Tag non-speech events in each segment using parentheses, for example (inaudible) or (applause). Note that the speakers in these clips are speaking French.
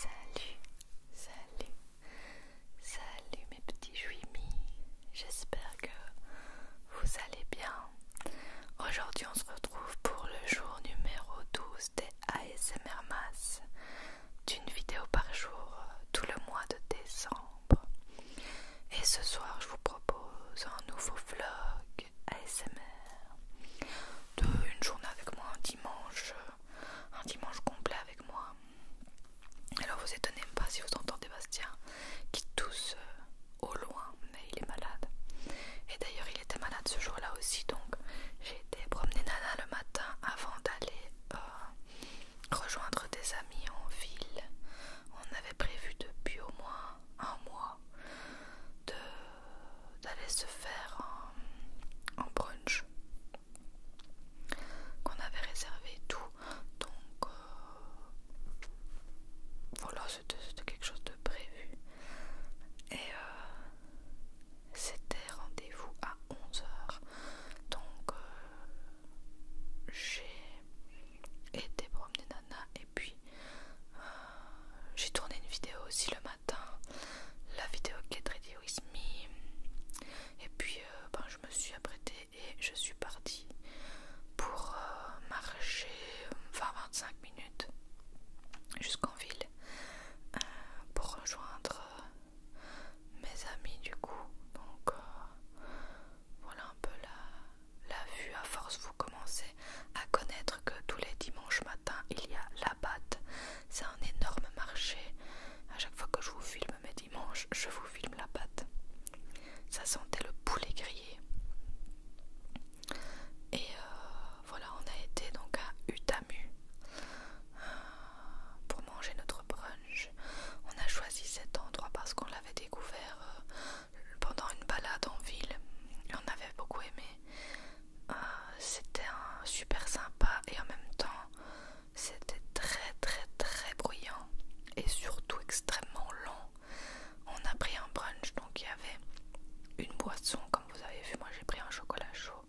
Salut, salut, salut mes petits juimis, j'espère que vous allez bien. Aujourd'hui on se retrouve pour le jour numéro 12 des ASMR d'une vidéo par jour euh, tout le mois de décembre. Et ce soir je vous propose un nouveau vlog ASMR une journée avec moi, un dimanche, euh, un dimanche complet avec moi. Alors vous étonnez pas si vous entendez Bastien qui tousse euh, au loin, mais il est malade. Et d'ailleurs il était malade ce jour-là aussi, donc j'ai été promener Nana le matin avant d'aller euh, rejoindre des amis en ville. On avait prévu depuis au moins un mois de d'aller se faire un, brunch qu'on avait réservé tout donc euh, voilà c'était quelque chose de prévu et euh, c'était rendez-vous à 11h donc euh, j'ai été promener Nana et puis j'ai tourné une vidéo aussi le matin, la vidéo Get Ready With Me. Et puis euh, ben, je me suis apprêtée et je suis partie pour euh, marcher 20-25 euh, minutes jusqu'en ville pour rejoindre mes amis du coup. Donc voilà un peu la, la vue. À force, vous commencez à connaître que tous les dimanches matins il y a la batte. C'est un énorme marché. À chaque fois que je vous filme mes dimanches, je vous filme la pâte. Ça sentait le poulet grillé. Et euh, voilà, on a été donc à Utamu pour manger notre brunch. On a choisi cet endroit parce qu'on l'avait découvert euh, pendant une balade en ville. On avait beaucoup aimé. Euh, c'était super sympa et en même temps c'était très très très bruyant et surtout extrêmement long On a pris un brunch donc il y avait une boisson comme vous avez vu, moi j'ai pris un chocolat chaud.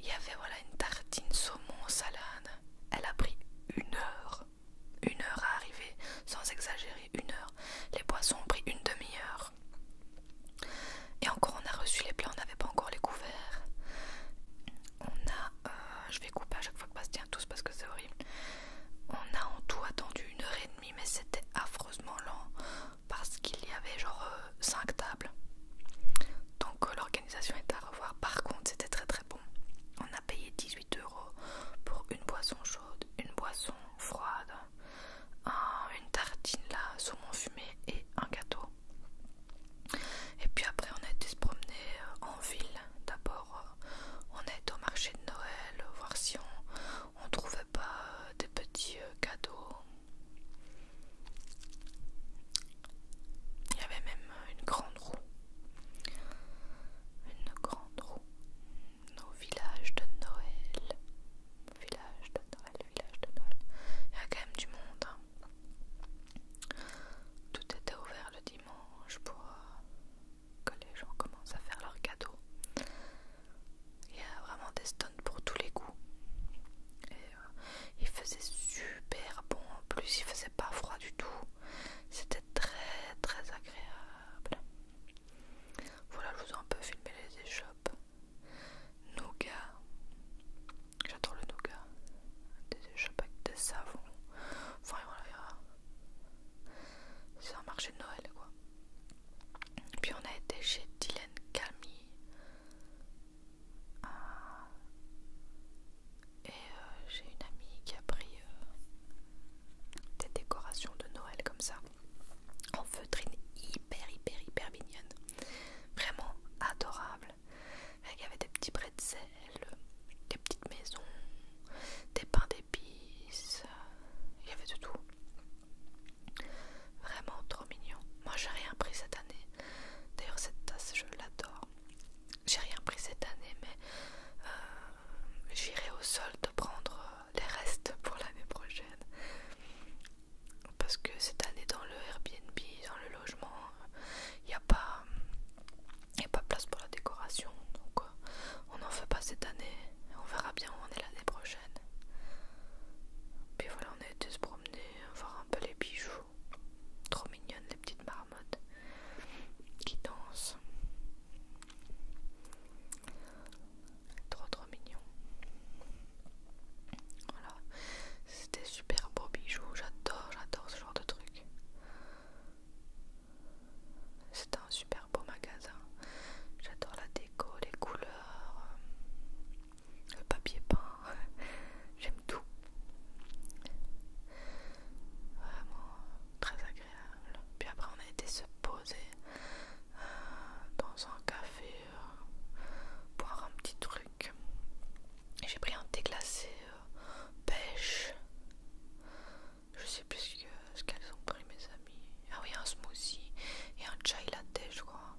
Il y avait voilà une tartine saumon salade. Elle a pris une heure, une heure à arriver sans exagérer une heure, les boissons ont pris une demi-heure. Et encore on a reçu les plats, on n'avait pas encore les couverts. On a, euh, je vais couper à chaque fois que Bastien tous parce que c'est horrible. On a en tout attendu une heure et demie, mais c'était affreusement lent parce qu'il y avait genre 5 euh, tables. Donc euh, l'organisation est à revoir. Par contre, c'était très très bon. On a payé 18 euros pour une boisson chaude, une boisson froide, une tartine là, saumon fumé et un gâteau. Et puis après on a été se promener euh, en ville. D'abord euh, on est au marché de Noël, euh, voir si on, ne trouvait pas des petits cadeaux. Il y avait même une grande roue. Une grande roue. Nos village de Noël village de Noël, village de Noël. Il y a quand même du monde. Hein. Tout était ouvert le dimanche pour euh, que les gens commencent à faire leurs cadeaux. Il y a vraiment des stands pour tous les goûts. Et euh, il faisait super bon en plus, il faisait pas froid du tout. C'était très très agréable. Voilà, je vous ai un peu filmé les échoppes nougat. J'adore le nougat. Des, des de savon. Enfin, voilà. C'est un marché de Noël, quoi. Puis on a été chez Dylan Camille. Ah. Et euh, j'ai une amie qui a pris euh, des décorations de Noël comme ça en feutrine hyper hyper hyper mignonne vraiment adorable il y avait des petits pretzels des petites maisons des pains d'épices il y avait de tout vraiment trop mignon moi j'ai rien pris cette année d'ailleurs cette tasse je l'adore j'ai rien pris cette année mais euh, j'irai au sol solde prendre euh, les restes pour l'année prochaine parce que cette année dans le Airbnb, dans le logement, il n'y a, pas, y pas place pour la décoration. Donc on n'en fait pas cette année. On verra bien où on est l'année prochaine. Puis voilà, on a été se promener, voir un peu les bijoux. Trop mignonnes les petites marmottes qui dansent. Trop trop mignon. Voilà. c'était super beau bijoux. J'adore, j'adore ce genre de truc. C'est un super beau magasin. J'adore la déco, les couleurs, euh, le papier peint. (laughs) J'aime tout. Vraiment très agréable. Puis après on a été se poser euh, dans un café euh, boire un petit truc. J'ai pris un thé glacé euh, pêche. Je sais plus ce, qu'elles ont pris, mes amis. Ah oui, un smoothie et un chai latte, je crois.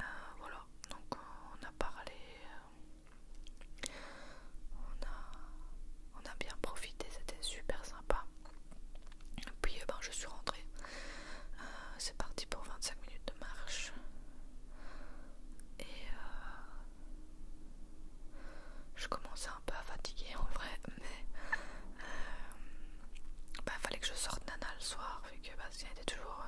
Euh, voilà, donc on a parlé. on a bien profité, c'était super sympa. Puis eh ben, je suis rentrée. Euh, c'est parti pour 25 minutes de marche. Et euh, je commençais un peu à fatiguer en vrai, mais il euh, bah, fallait que je sorte Nana le soir, vu que Bastien était toujours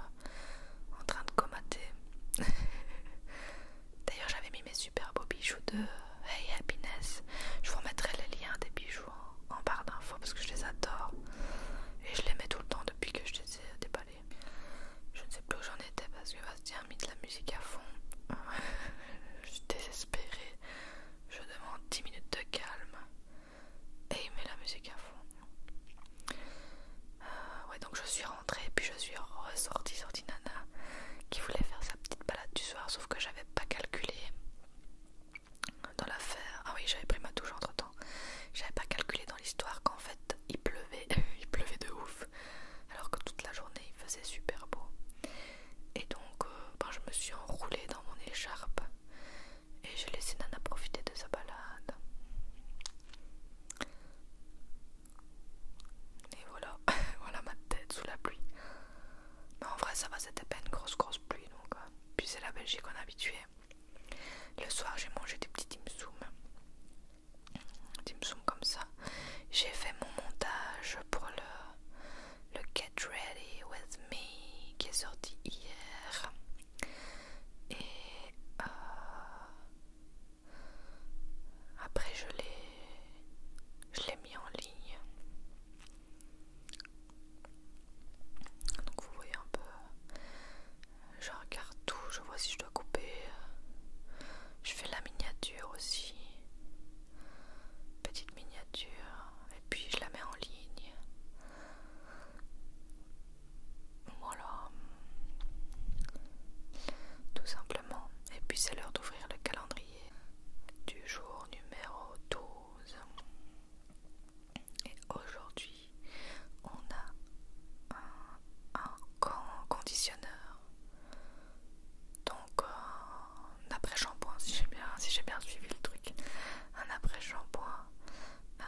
en train de comater. (laughs) D'ailleurs, j'avais mis mes super beaux bijoux de Hey Happiness. Je vous remettrai les liens des bijoux en barre d'infos parce que je les adore. Et je les mets tout le temps depuis que je les ai déballés. Je ne sais plus où j'en étais parce que Bastien a mis de la musique à fond. (laughs) je suis désespérée. Je demande 10 minutes de calme. Et il met la musique à fond. Euh, ouais, donc je suis rentrée, puis je suis ressortie, sortie nana, qui voulait faire sa petite balade du soir, sauf que j'avais pas calculé dans l'affaire. Ah oui, j'avais pris ma douche entre temps. J'avais pas calculé dans l'histoire qu'en fait il pleuvait, (laughs) il pleuvait de ouf, alors que toute la journée il faisait super beau. Et donc, euh, ben, je me suis enroulée dans mon écharpe et j'ai laissé Nana profiter de sa balade. Et voilà, (laughs) voilà ma tête sous la pluie en vrai, ça va, c'était pas une grosse, grosse pluie. Donc, euh. Puis c'est la Belgique, qu'on habitué. Le soir, j'ai mangé des petits dim sum. comme ça. J'ai fait mon montage pour le, le Get Ready With Me qui est sorti hier. Et euh, après, je l'ai mis en ligne. Donc vous voyez un peu, euh, je regarde tout, je vois si je dois couper. Je fais la miniature aussi, petite miniature, et puis je la mets en ligne. Voilà, tout simplement. Et puis c'est l'heure d'ouvrir le calendrier du jour numéro 12. Et aujourd'hui, on a un, conditionneur. Donc un après-shampoing, si j'ai bien, suivi le truc. Un après-shampoing euh,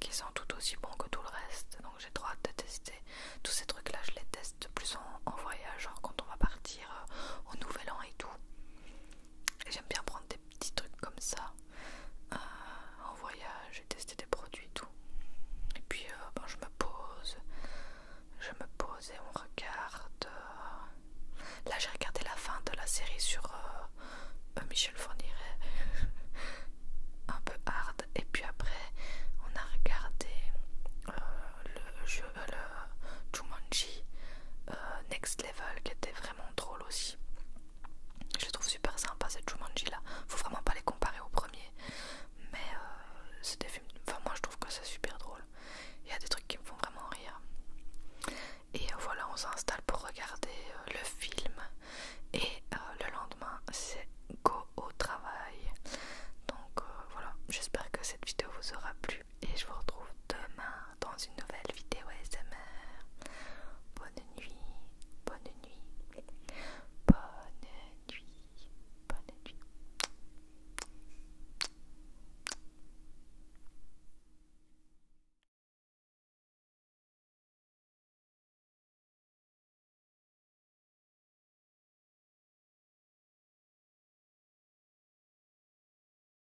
qui sent tout aussi bon que tout le reste. Donc j'ai droit de tester. Tous ces trucs-là, je les teste plus en, voyage, genre quand on va partir euh, au nouvel an et tout. J'aime bien prendre des petits trucs comme ça euh, en voyage et tester des produits et tout. Et puis euh, ben, je me pose, je me pose et on regarde. Euh. Là j'ai regardé la fin de la série sur Michel Fourniret, (laughs) un peu hard. Et puis après on a regardé le jeu, Jumanji Next Level qui était vraiment drôle aussi. Je trouve super sympa cette Jumanji là. Faut vraiment pas les comparer au premier. Mais euh, c'est des films. Enfin, moi je trouve que c'est super drôle. Il y a des trucs qui me font vraiment rire. Et euh, voilà, on s'installe pour regarder euh, le film. Et le lendemain, c'est go au travail. Donc voilà, j'espère que cette vidéo vous aura plu. Et je vous retrouve demain dans une nouvelle vidéo ASMR. Bonne nuit, bonne nuit, bonne nuit, bonne nuit.